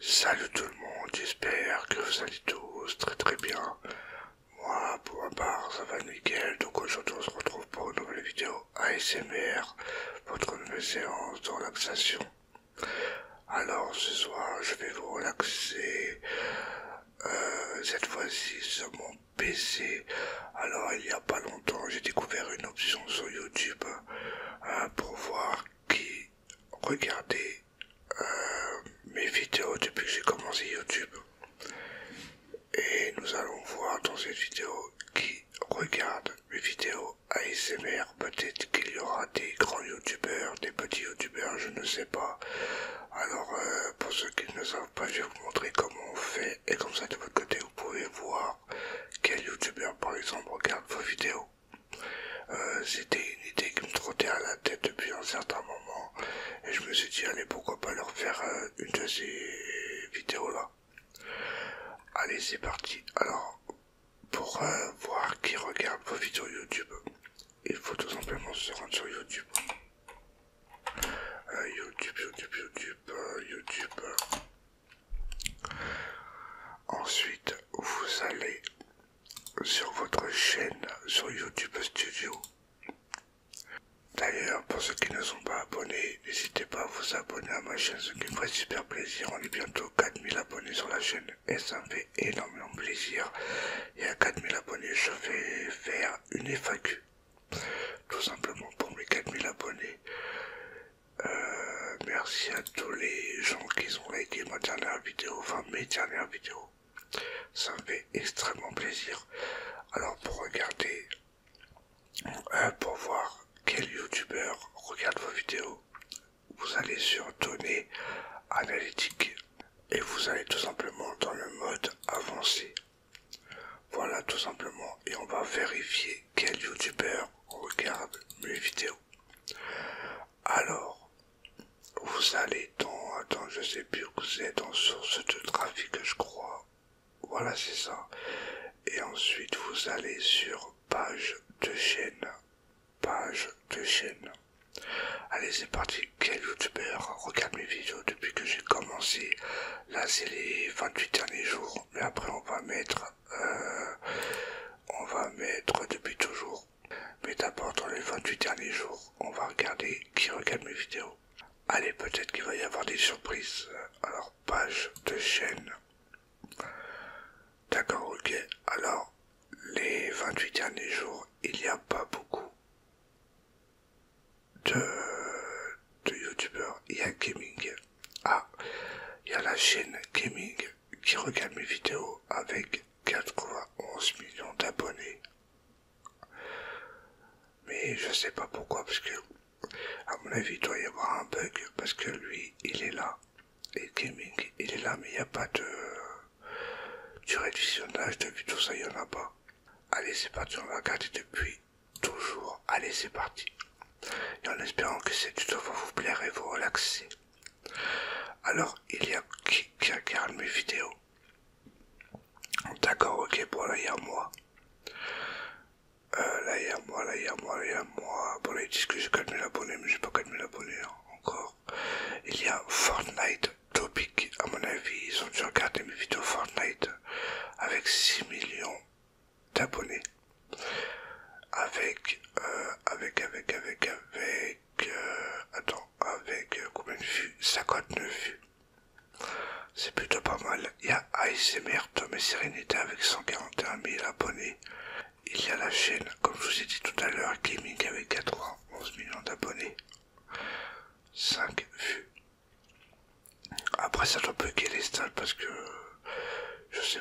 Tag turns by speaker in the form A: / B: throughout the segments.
A: Salut tout le monde, j'espère que vous allez tous très très bien. Moi pour ma part ça va nickel, donc aujourd'hui on se retrouve pour une nouvelle vidéo ASMR, votre nouvelle séance de relaxation. Alors ce soir je vais vous relaxer, euh, cette fois-ci sur mon PC. Alors il n'y a pas longtemps j'ai découvert une option sur YouTube euh, pour voir qui Regardez euh, mes vidéos depuis que j'ai commencé YouTube. Et nous allons voir dans cette vidéo qui regarde mes vidéos ASMR. Peut-être qu'il y aura des grands youtubeurs, des petits youtubeurs, je ne sais pas. Alors euh, pour ceux qui ne savent pas, je vais vous montrer comment on fait. Et comme ça de votre côté, vous pouvez voir quel youtubeur par exemple regarde vos vidéos. Euh, c'était une idée qui me trottait à la tête depuis un certain moment et je me suis dit allez pourquoi pas leur faire euh, une de ces vidéos là. Allez c'est parti. Alors pour euh, voir qui regarde vos vidéos YouTube, il faut tout simplement se rendre sur YouTube. YouTube, YouTube, YouTube, YouTube. Ensuite, vous allez sur votre chaîne sur YouTube Studio. D'ailleurs, pour ceux qui ne sont pas abonnés, n'hésitez pas à vous abonner à ma chaîne, ce qui me ferait super plaisir. On est bientôt 4000 abonnés sur la chaîne et ça me fait énormément plaisir. Et à 4000 abonnés, je vais faire une FAQ, tout simplement pour mes 4000 abonnés. Euh, merci à tous les gens qui ont liké ma dernière vidéo, enfin mes dernières vidéos. Ça me fait extrêmement plaisir. Alors pour regarder, euh, pour voir quel youtubeur regarde vos vidéos, vous allez sur données analytiques et vous allez tout simplement dans le mode avancé. Voilà tout simplement et on va vérifier quel youtubeur regarde mes vidéos. Alors, vous allez dans, attends, je sais plus où êtes, dans source de trafic, je crois. Voilà, c'est ça. Et ensuite, vous allez sur page de chaîne. Page de chaîne. Allez, c'est parti. Quel youtubeur regarde mes vidéos depuis que j'ai commencé Là, c'est les 28 derniers jours. Mais après, on va mettre euh, on va mettre depuis toujours, mais d'abord dans les 28 derniers jours, on va regarder qui regarde mes vidéos. Allez, peut-être qu'il va y avoir des surprises. Alors, page de chaîne. D'accord, ok. Alors, les 28 derniers jours, il n'y a pas beaucoup de, de youtubeurs. Il y a gaming. Ah, il y a la chaîne gaming qui regarde mes vidéos avec 91 millions d'abonnés. Mais je sais pas pourquoi, parce que, à mon avis, il doit y avoir un bug, parce que lui, il est là. Et gaming, il est là, mais il n'y a pas de du de visionnage de ça, il en a pas. Allez, c'est parti, on va regarder depuis toujours. Allez, c'est parti. Et en espérant que cette vidéo va vous plaire et vous relaxer. Alors, il y a qui, regarde mes vidéos D'accord, ok, bon, là, il y a moi. Euh, là, il y a moi, là, il y a moi, là, il y a moi. Bon, là, ils disent que j'ai 4000 abonnés, mais j'ai pas 4000 abonnés hein, encore. Il y a Fortnite Topic. À mon avis, ils ont dû regarder mes vidéos Fortnite avec 6 millions d'abonnés. Euh, avec, avec, avec, avec, euh, avec, avec euh, combien de vues 59 vues. C'est plutôt pas mal. Il y a ASMR Tom et Sérénité avec 141 000 abonnés. Il y a la chaîne, comme je vous ai dit tout à l'heure, Gaming avec 91 millions d'abonnés. 5 vues. Après ça doit qu'elle les stats parce que je sais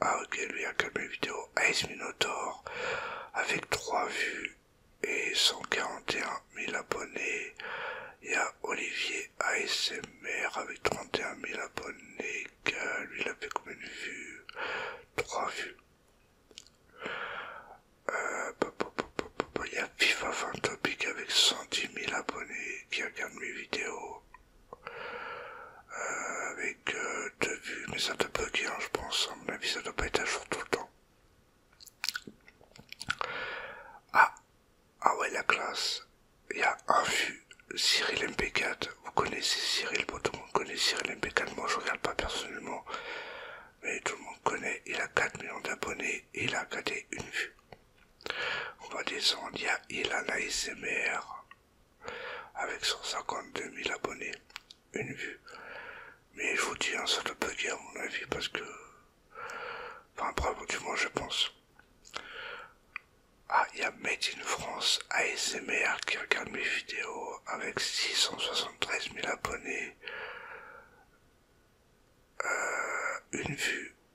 A: ah ok, lui a calmé mes vidéo. Ace Minotaur avec 3 vues et 141 000 abonnés. Il y a Olivier ASMR avec 31 000 abonnés. Lui, il a fait combien de vues 3 vues. Euh, il y a FIFA 20 avec 110 000 abonnés qui regarde mes vidéos avec deux vues, mais ça te bugger, hein, je pense. À mon avis, ça doit pas être à jour tout le temps. Ah, ah ouais, la classe. Il y a un vu, Cyril MP4. Vous connaissez Cyril, tout le monde connaît Cyril MP4. Moi, je regarde pas personnellement, mais tout le monde connaît. Il a 4 millions d'abonnés et il a gardé une vue. On va descendre, il y a Ilana ASMR, avec 152 000 abonnés, une vue. Mais je vous dis, un hein, ça peut à mon avis parce que... Enfin, bravo du moins, je pense. Ah, il y a Made in France ASMR qui regarde mes vidéos avec 673 000 abonnés. Euh, une vue,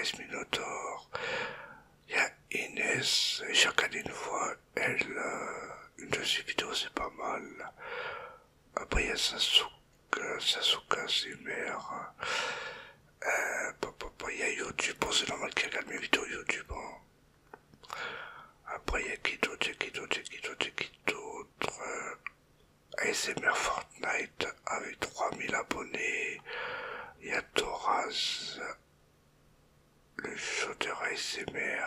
A: Ice Minotaur. Il y a Inès, j'ai regardé une fois, elle, euh, une de ses vidéos, c'est pas mal. Après, il y a Sasuka, Sasuka, c'est mères. Euh, il y a YouTube, bon, c'est normal qu'il regarde mes vidéos YouTube. Hein. Après, il y a qui d'autre, qui d'autre, qui d'autre, y a qui d'autre. ASMR Fortnite avec 3000 abonnés. Il y a Thoraz, le chanteur ASMR.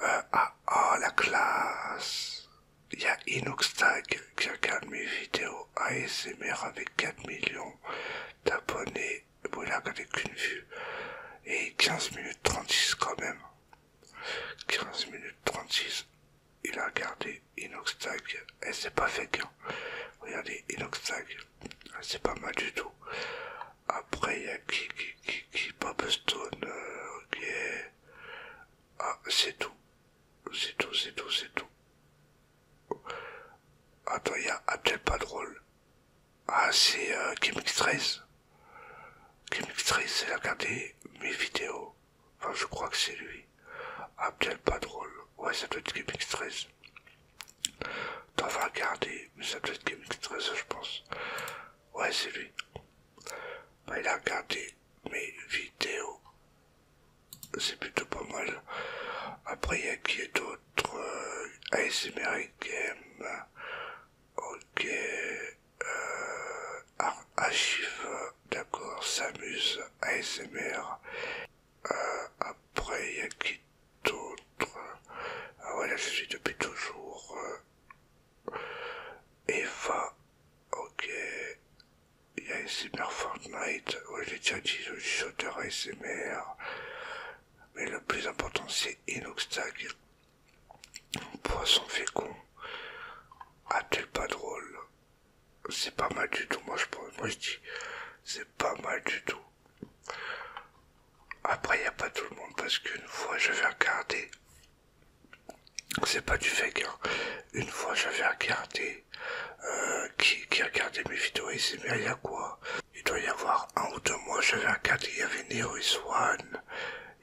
A: ah, euh, ah, la classe. Il y a Inoxtag qui regarde mes vidéos ASMR avec 4 millions d'abonnés. voilà il une qu'une vue. Et 15 minutes 36 quand même. 15 minutes 36 il a regardé Inoxtag, et c'est pas fake. Hein. regardez Regardez tag ah, c'est pas mal du tout. Après, il y a qui, qui, qui, qui, Popstone, qui euh, ok. Ah, c'est tout. C'est tout, c'est tout, c'est tout. Attends, il y a Abdel pas drôle. Ah, c'est euh, Kimix 13. Kimix 13, a regardé mes vidéos. Enfin, je crois que c'est lui. Abdel ah, pas drôle. Ouais, ça doit être GameX 13. T'en vas regarder, mais ça doit être GameX 13, je pense. Ouais, c'est lui. Bah, il a regardé mes vidéos. C'est plutôt pas mal. Après, il y a qui est d'autre euh, Ice American, Game. Ok. Euh, archive, d'accord, Samus, ASMR. Euh, après, il y a qui d'autre ah, Voilà, je suis depuis toujours. Euh, Eva, ok. Il y a ASMR Fortnite, ouais, j'ai déjà dit le shooter ASMR. Mais le plus important, c'est Inoxtag poisson fécond. Ah, t'es pas drôle. C'est pas mal du tout, moi je pense. Moi je dis, c'est pas mal du tout. Après, il a pas tout le monde parce qu'une fois je vais regarder C'est pas du fake, hein. Une fois j'avais regardé. Euh, qui, regardait mes vidéos il s'est y a quoi Il doit y avoir un ou deux mois, j'avais regardé, il y avait Nero Swan,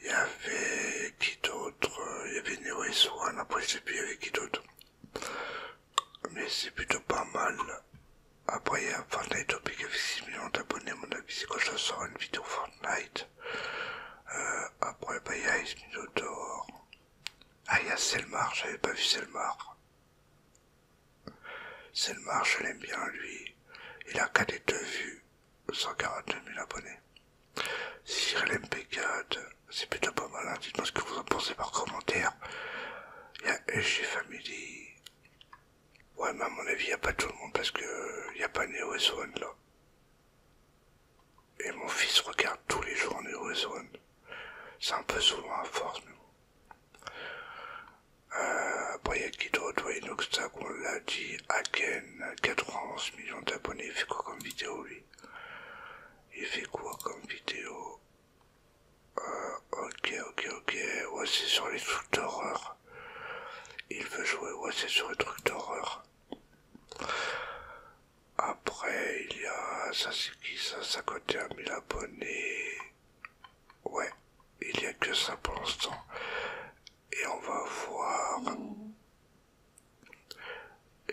A: il y avait qui d'autre Il y avait Neo et Swan, après je sais plus il y avait qui d'autre. Mais c'est plutôt pas mal. Après il y a Fortnite Topic avec 6 millions d'abonnés, mon avis c'est quand je sors une vidéo Fortnite. Euh, après bah, il y a Ice Dehors. Ah il y a Selmar, j'avais pas vu Selmar. Selmar je l'aime bien lui. Il a qu'à des deux vues. 142 000 abonnés. Cyril MP4, c'est plutôt pas mal. Hein. Dites-moi ce que vous en pensez par commentaire. Il y a SG Family. Ouais, mais à mon avis, il n'y a pas tout le monde parce qu'il n'y a pas Neo S1 là. Et mon fils regarde tous les jours Neo S1. C'est un peu souvent à force, mais euh, bon. il y a qui d'autre, ouais, on l'a dit, Haken, 91 millions d'abonnés. Il fait quoi comme vidéo lui Il fait quoi comme vidéo euh, Ok, ok, ok. Ouais, c'est sur les trucs d'horreur. Il veut jouer, ouais, c'est sur les trucs d'horreur. Après, il y a. Ça, c'est qui ça 51 mille abonnés. Ouais, il y a que ça pour l'instant et on va voir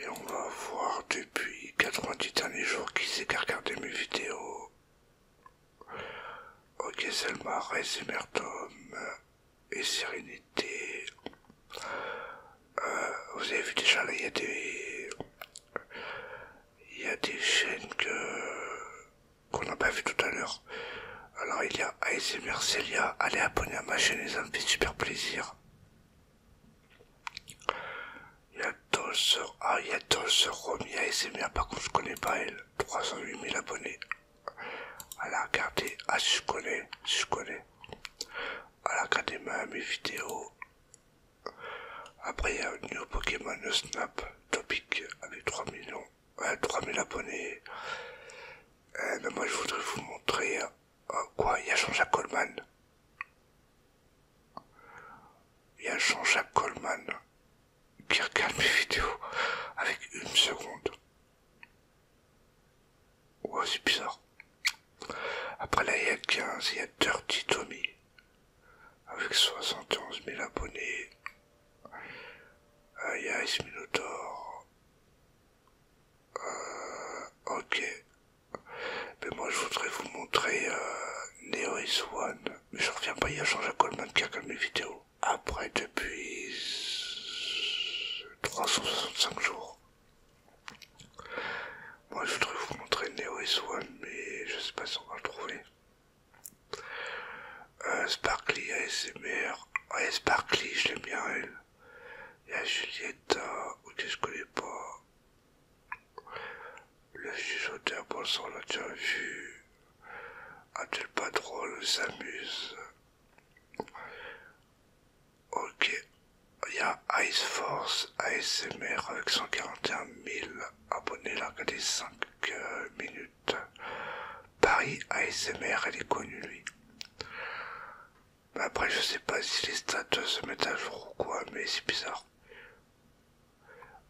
A: et on va voir depuis 90 derniers jours qui s'est qui regardé mes vidéos ok Selma Tom euh, et Sérénité euh, vous avez vu déjà là il y a des il y des chaînes que qu'on n'a pas vu tout à l'heure alors il y a ASMR Celia, allez abonner à ma chaîne les fait super plaisir. Il y a Dolce, ah il y a Dolce par contre je connais pas elle, 308 000 abonnés. À la regardé ah si je connais, si je connais. À la ma, mes vidéos. Après il y a New Pokémon Snap, Topic, avec 3 millions, euh, 3000 abonnés. Euh, moi je voudrais vous montrer hein. Euh, quoi Il y a Jean-Jacques Coleman Il y a Jean-Jacques Coleman qui regarde mes vidéos avec une seconde. Ouais, c'est bizarre. Après là, il y a 15, il y a Dirty Tommy avec 71 000 abonnés. Euh, il y a euh, ok. Mais moi je voudrais vous montrer euh, Neo is One. Mais je reviens pas, il y a changé à Coleman qui a comme les vidéos. Après, depuis 365 jours. Moi je voudrais vous montrer Neo is mais je sais pas si on va le trouver. Euh, Sparkly ASMR. Ouais, ah, Sparkly, je bien elle. Il y a Julieta, euh, ok, je connais pas. Le juge le pour son l'a déjà vu. le pas drôle, s'amuse. Ok. Il y a Ice Force ASMR avec 141 000 abonnés. là a est 5 minutes. Paris ASMR, elle est connue lui. Après, je sais pas si les stats se mettent à jour ou quoi, mais c'est bizarre.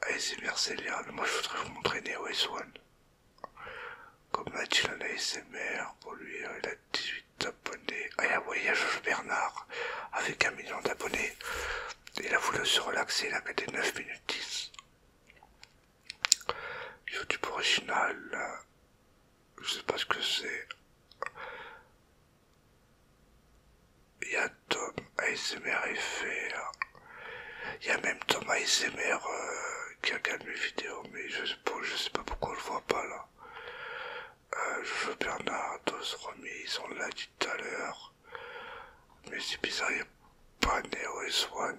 A: ASMR c'est mais moi je voudrais vous montrer Néo S1. Comme a dit un ASMR, pour lui euh, il a 18 abonnés. Ah, il a voyage Bernard avec un million d'abonnés. Il a voulu se relaxer, il a gagné 9 minutes 10. YouTube original, je sais pas ce que c'est. Il y a Tom ASMR Il y a même Tom ASMR euh, qui regarde mes vidéos, mais je sais pas, je sais pas pourquoi on le voit pas là. Euh, je veux Bernard, Dos ils on l'a dit tout à l'heure. Mais c'est bizarre, il n'y a pas Neo S1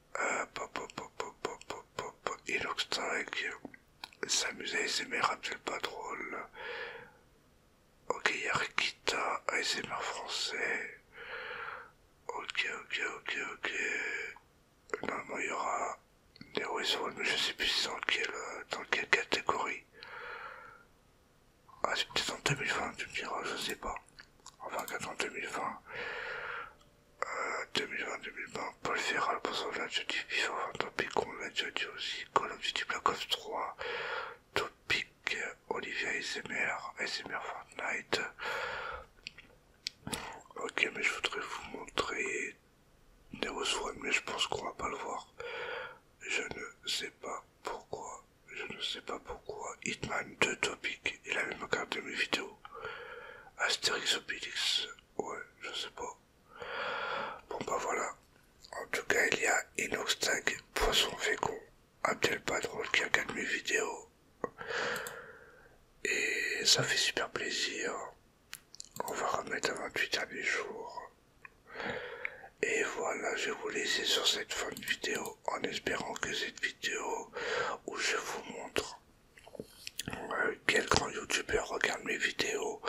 A: Et donc s'amuser, ASMR, rappelle pas drôle. Ok, il y a Rikita, ASMR français. Ok, ok, ok, ok. Normalement, il y aura Nero Soul, mais je sais plus dans quelle, dans quelle catégorie. Ah, c'est peut-être en 2020, tu me diras, je sais pas. Enfin, en 2020. 2020-2020, Paul Ferral pour son objectif vivant, enfin, topic on l'a déjà dit aussi, Call of Duty Black Ops 3, topic Olivia SMR, SMR Fortnite. Ok, mais je voudrais vous montrer Nero Swan, mais je pense qu'on va pas le voir. Je ne sais pas pourquoi, je ne sais pas pourquoi Hitman 2 Topic, il avait même regardé mes vidéos Astérix Obélix, ouais, je sais pas. Bon bah voilà. En tout cas, il y a tag Poisson Fécond, patron qui a gagné mes vidéos. Et ça fait super plaisir. On va remettre à 28 à mes jours. Et voilà, je vais vous laisser sur cette fin de vidéo en espérant que cette vidéo où je vous montre quel grand youtubeur regarde mes vidéos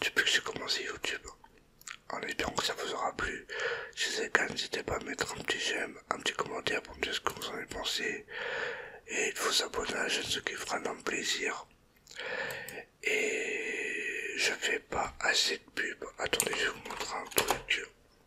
A: depuis que j'ai commencé YouTube En espérant que ça vous aura plu. Si c'est le cas, n'hésitez pas à mettre un petit j'aime, un petit commentaire pour me dire ce que vous en avez pensé. Et de vous abonner à ce qui fera un plaisir. Et je fais pas assez de pub. Attendez, je vais vous montrer un truc.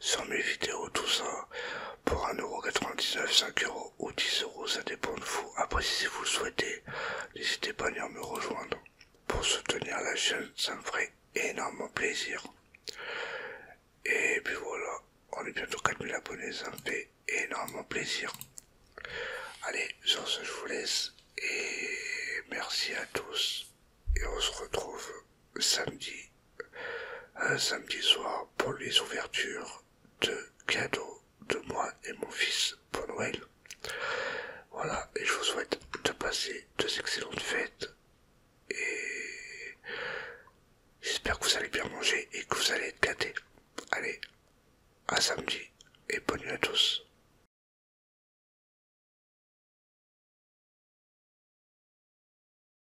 A: sur mes vidéos, tout ça, pour 1,99€, 5€ ou 10€, ça dépend de vous. Après, si vous le souhaitez, n'hésitez pas à venir me rejoindre. Pour soutenir la chaîne, ça me ferait énormément plaisir. Et puis voilà, on est bientôt 4000 abonnés, ça me fait énormément plaisir. Allez, sur ce, je vous laisse et merci à tous. Et on se retrouve samedi un samedi soir pour les ouvertures de cadeaux de moi et mon fils pour Noël. Voilà, et je vous souhaite de passer deux excellentes fêtes et j'espère que vous allez bien manger et que vous allez être gâtés. Allez, à samedi et bonne nuit à tous.